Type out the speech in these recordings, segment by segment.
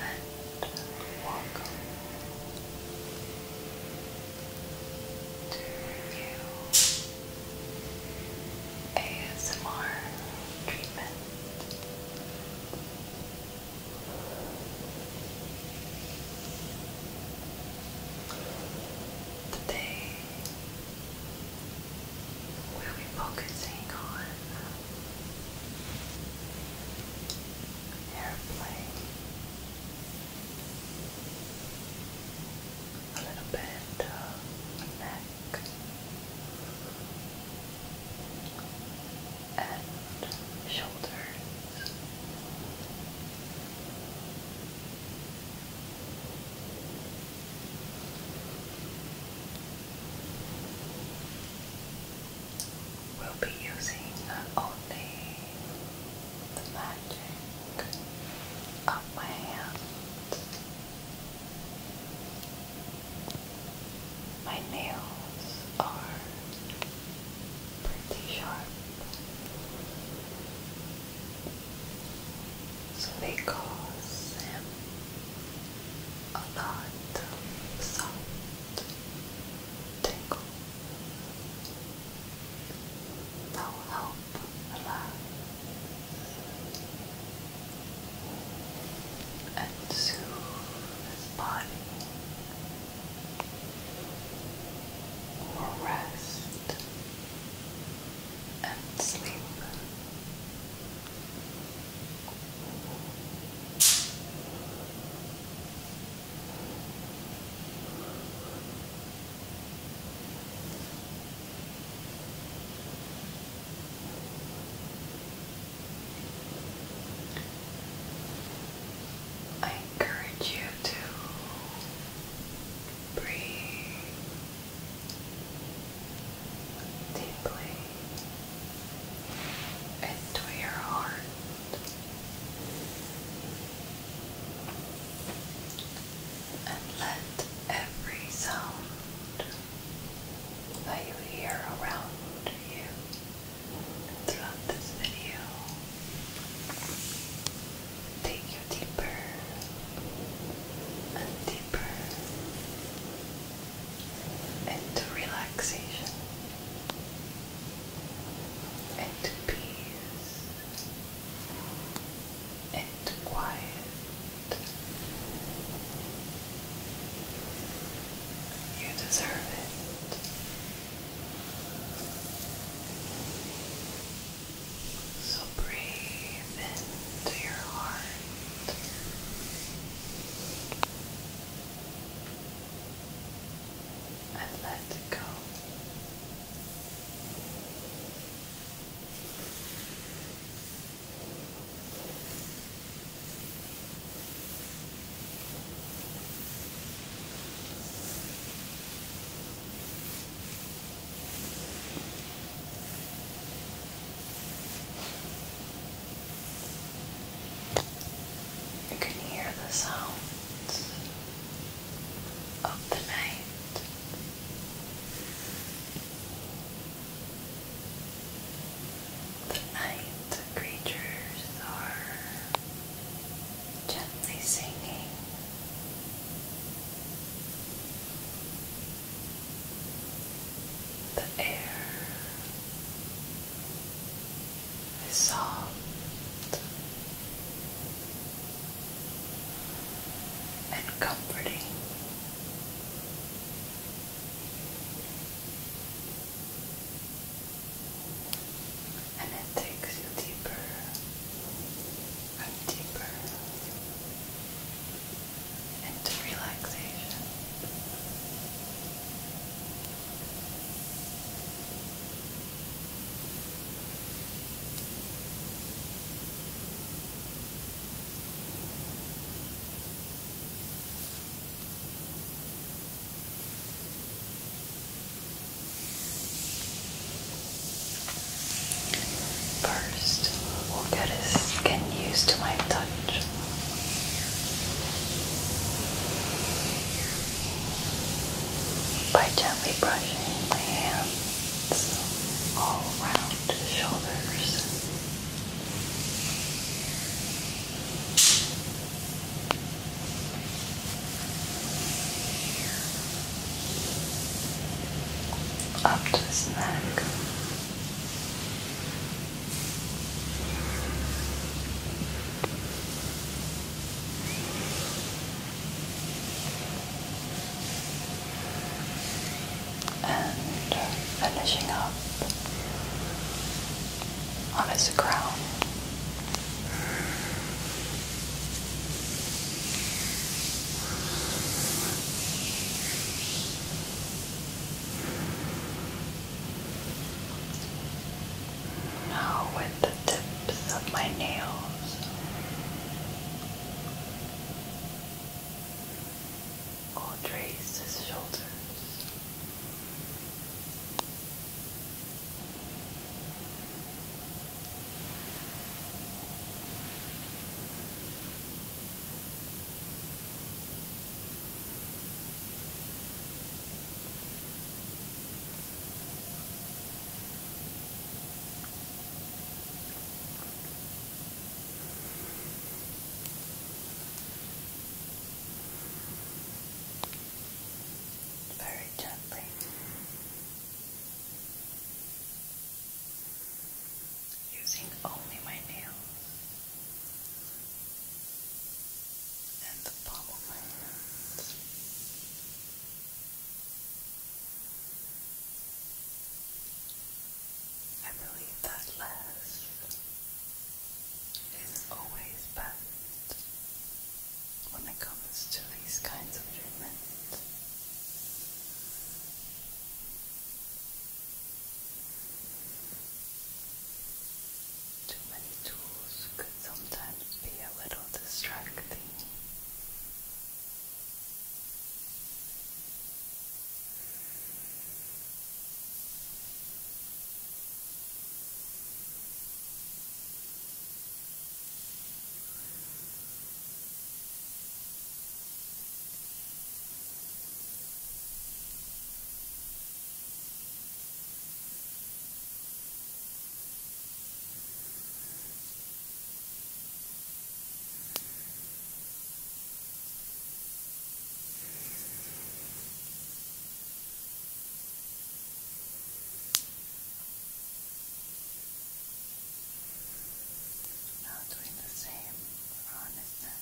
and welcome to review ASMR treatment. Today we'll be focusing on airplane a little bit of neck and shoulders We'll be using not only the magic of my hand, my nails are pretty sharp, so they cause him a light, sound, tingle that help relax and soothe his body or rest and sleep. I encourage you to breathe deeply into your heart. And let every sound that you hear around you throughout this video take you deeper and deeper into relaxation, into peace, into quiet. You deserve it. So breathe into your heart. I let it go. You can hear the sounds of the night. The night creatures are gently singing. The air is soft and comforting. And it takes you deeper and deeper into relaxation. First, we'll get his skin used to my touch by gently brushing the hands all around the shoulders. Up to his neck, and uh, finishing up on his crown. Now, with the tips of my nails, I'll trace his shoulders. Very gently using only my nails and the palm of my hands. I believe that less is always best when it comes to these kinds of treatments. Too many tools could sometimes be a little distracting. Relax. Now doing the same on this side.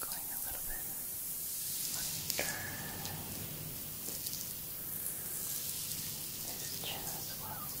Going a little bit under his chin as well. Just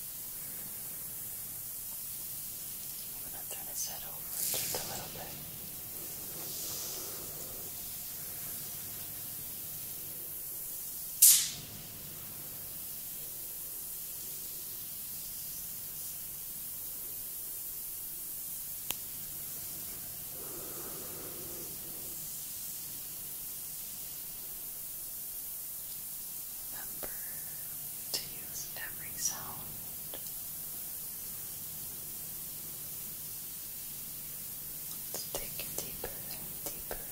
I'm going to turn his head over just a little bit. Good. Remember to use every sound Let's take deeper and deeper.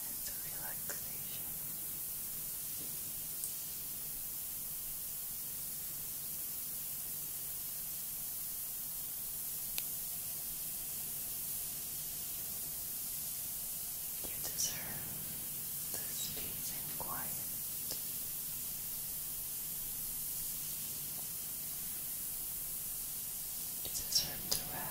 Into relaxation. You deserve this peace and quiet. You deserve to rest.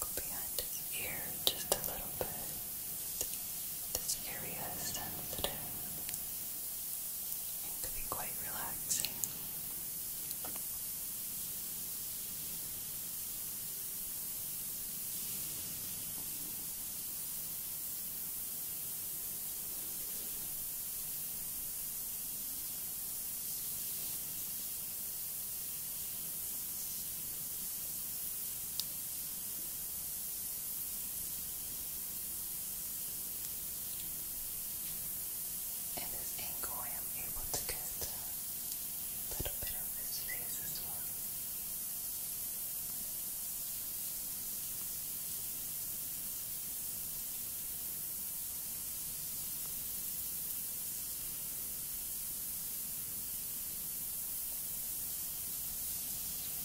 Go behind his ear just a little bit. This area is sensitive and could be quite relaxing. At this angle I am able to get a little bit of his face as well.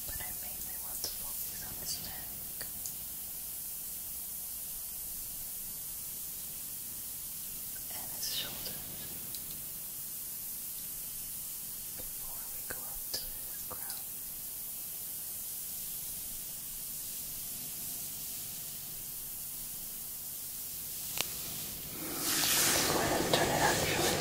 But I mainly want to focus on his neck. And his shoulders before we go up to his crown. Go ahead and turn it actually. Okay.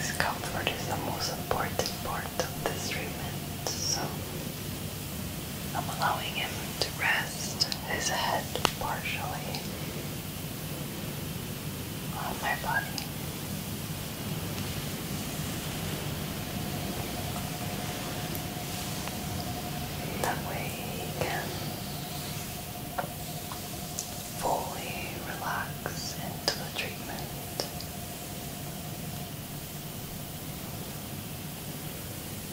His comfort is the most important part of this treatment, so I'm allowing him to rest his head partially on my body. That way he can fully relax into the treatment.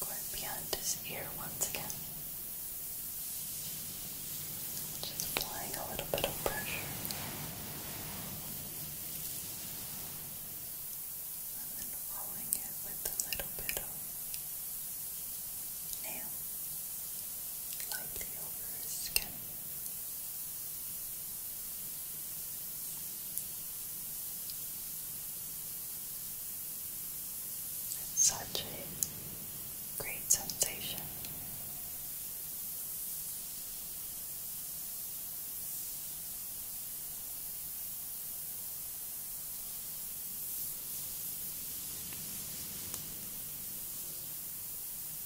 Going behind his ear once again. Just applying a little bit of pressure. And then rolling it with a little bit of nail lightly over his skin. It's such a great sensation.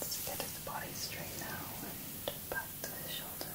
Let's get his body straight now and back to his shoulder.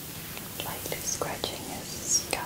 lightly scratching his scalp.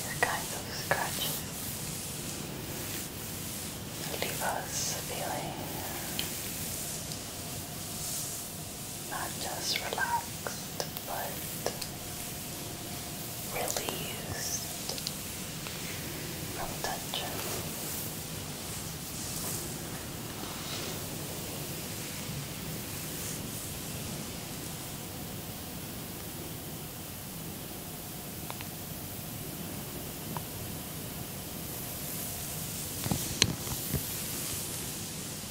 These kinds of scratches leave us feeling not just relaxed, but released from tension.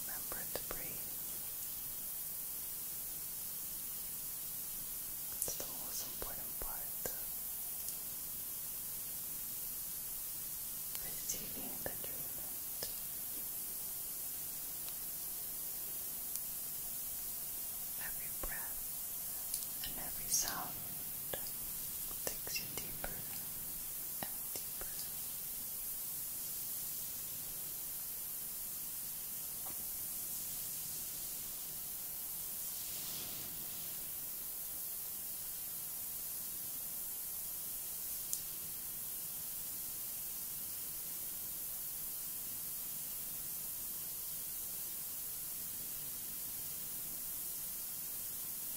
Remember to breathe. the most important part receiving the treatment. Every breath and every sound takes you deeper and deeper.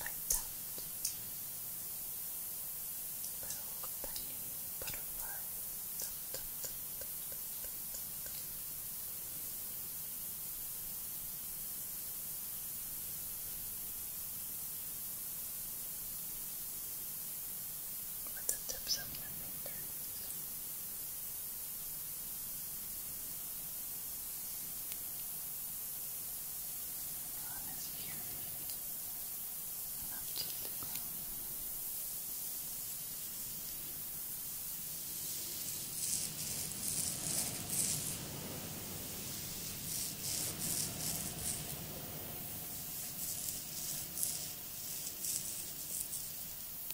Like that little tiny butterfly. Dun, dun, dun, dun, dun, dun, dun. Now with the tips of my fingers. On his ear, and up to the ground.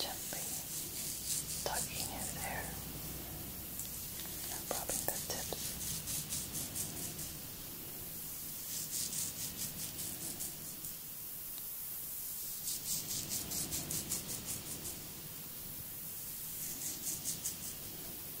Gently tucking his hair and rubbing the tips. Gently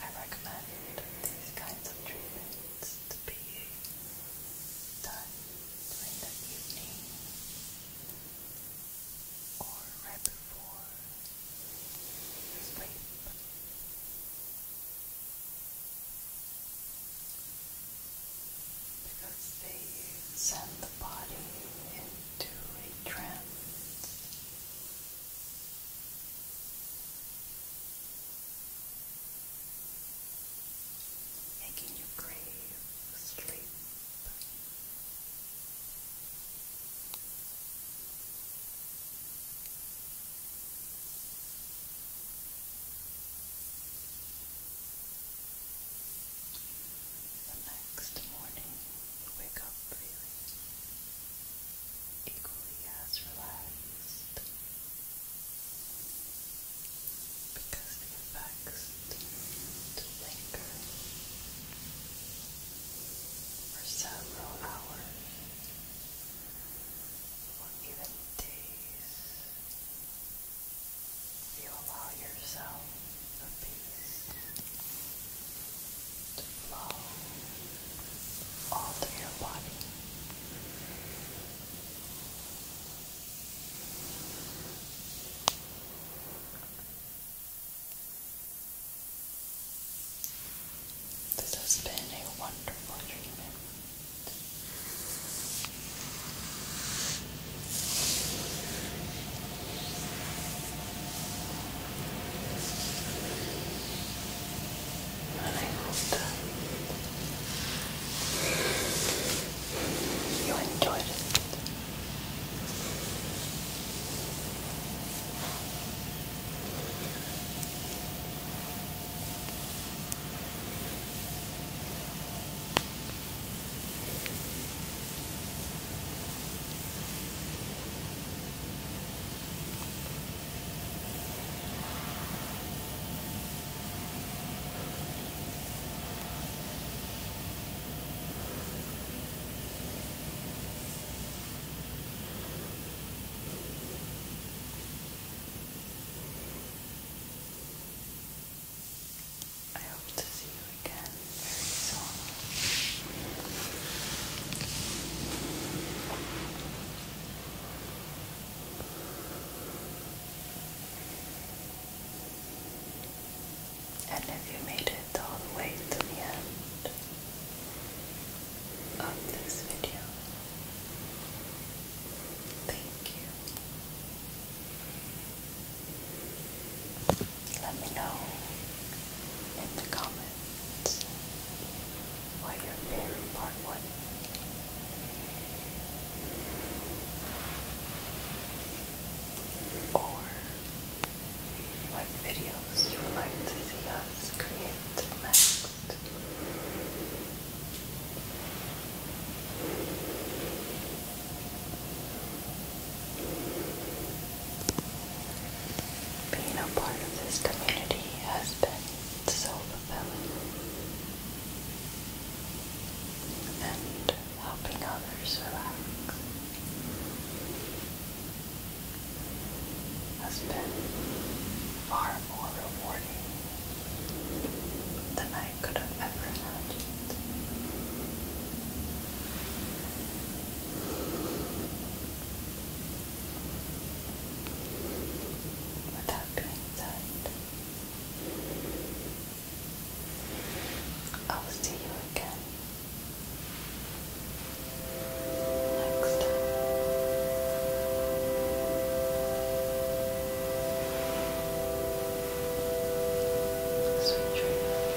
I recommend these kinds of treatments to be done during the evening or right before sleep. Because they send the body into a trance making you crave sleep. The next morning, wake up feeling equally as relaxed because the effects to linger for several hours or even days if you allow yourself the peace to flow all through your body. This has been a wonderful treatment. And you enjoyed it. I hope to see you again very soon. And if you made it all the way to the end of this video, thank you. Let me know in the comments moments. your favorite part was. Or what videos you would like to see us create next. Being a part of this community has been so fulfilling. And helping others relax has been far more rewarding than I could have ever imagined. With that I'll see you again next time. Sweet dreams.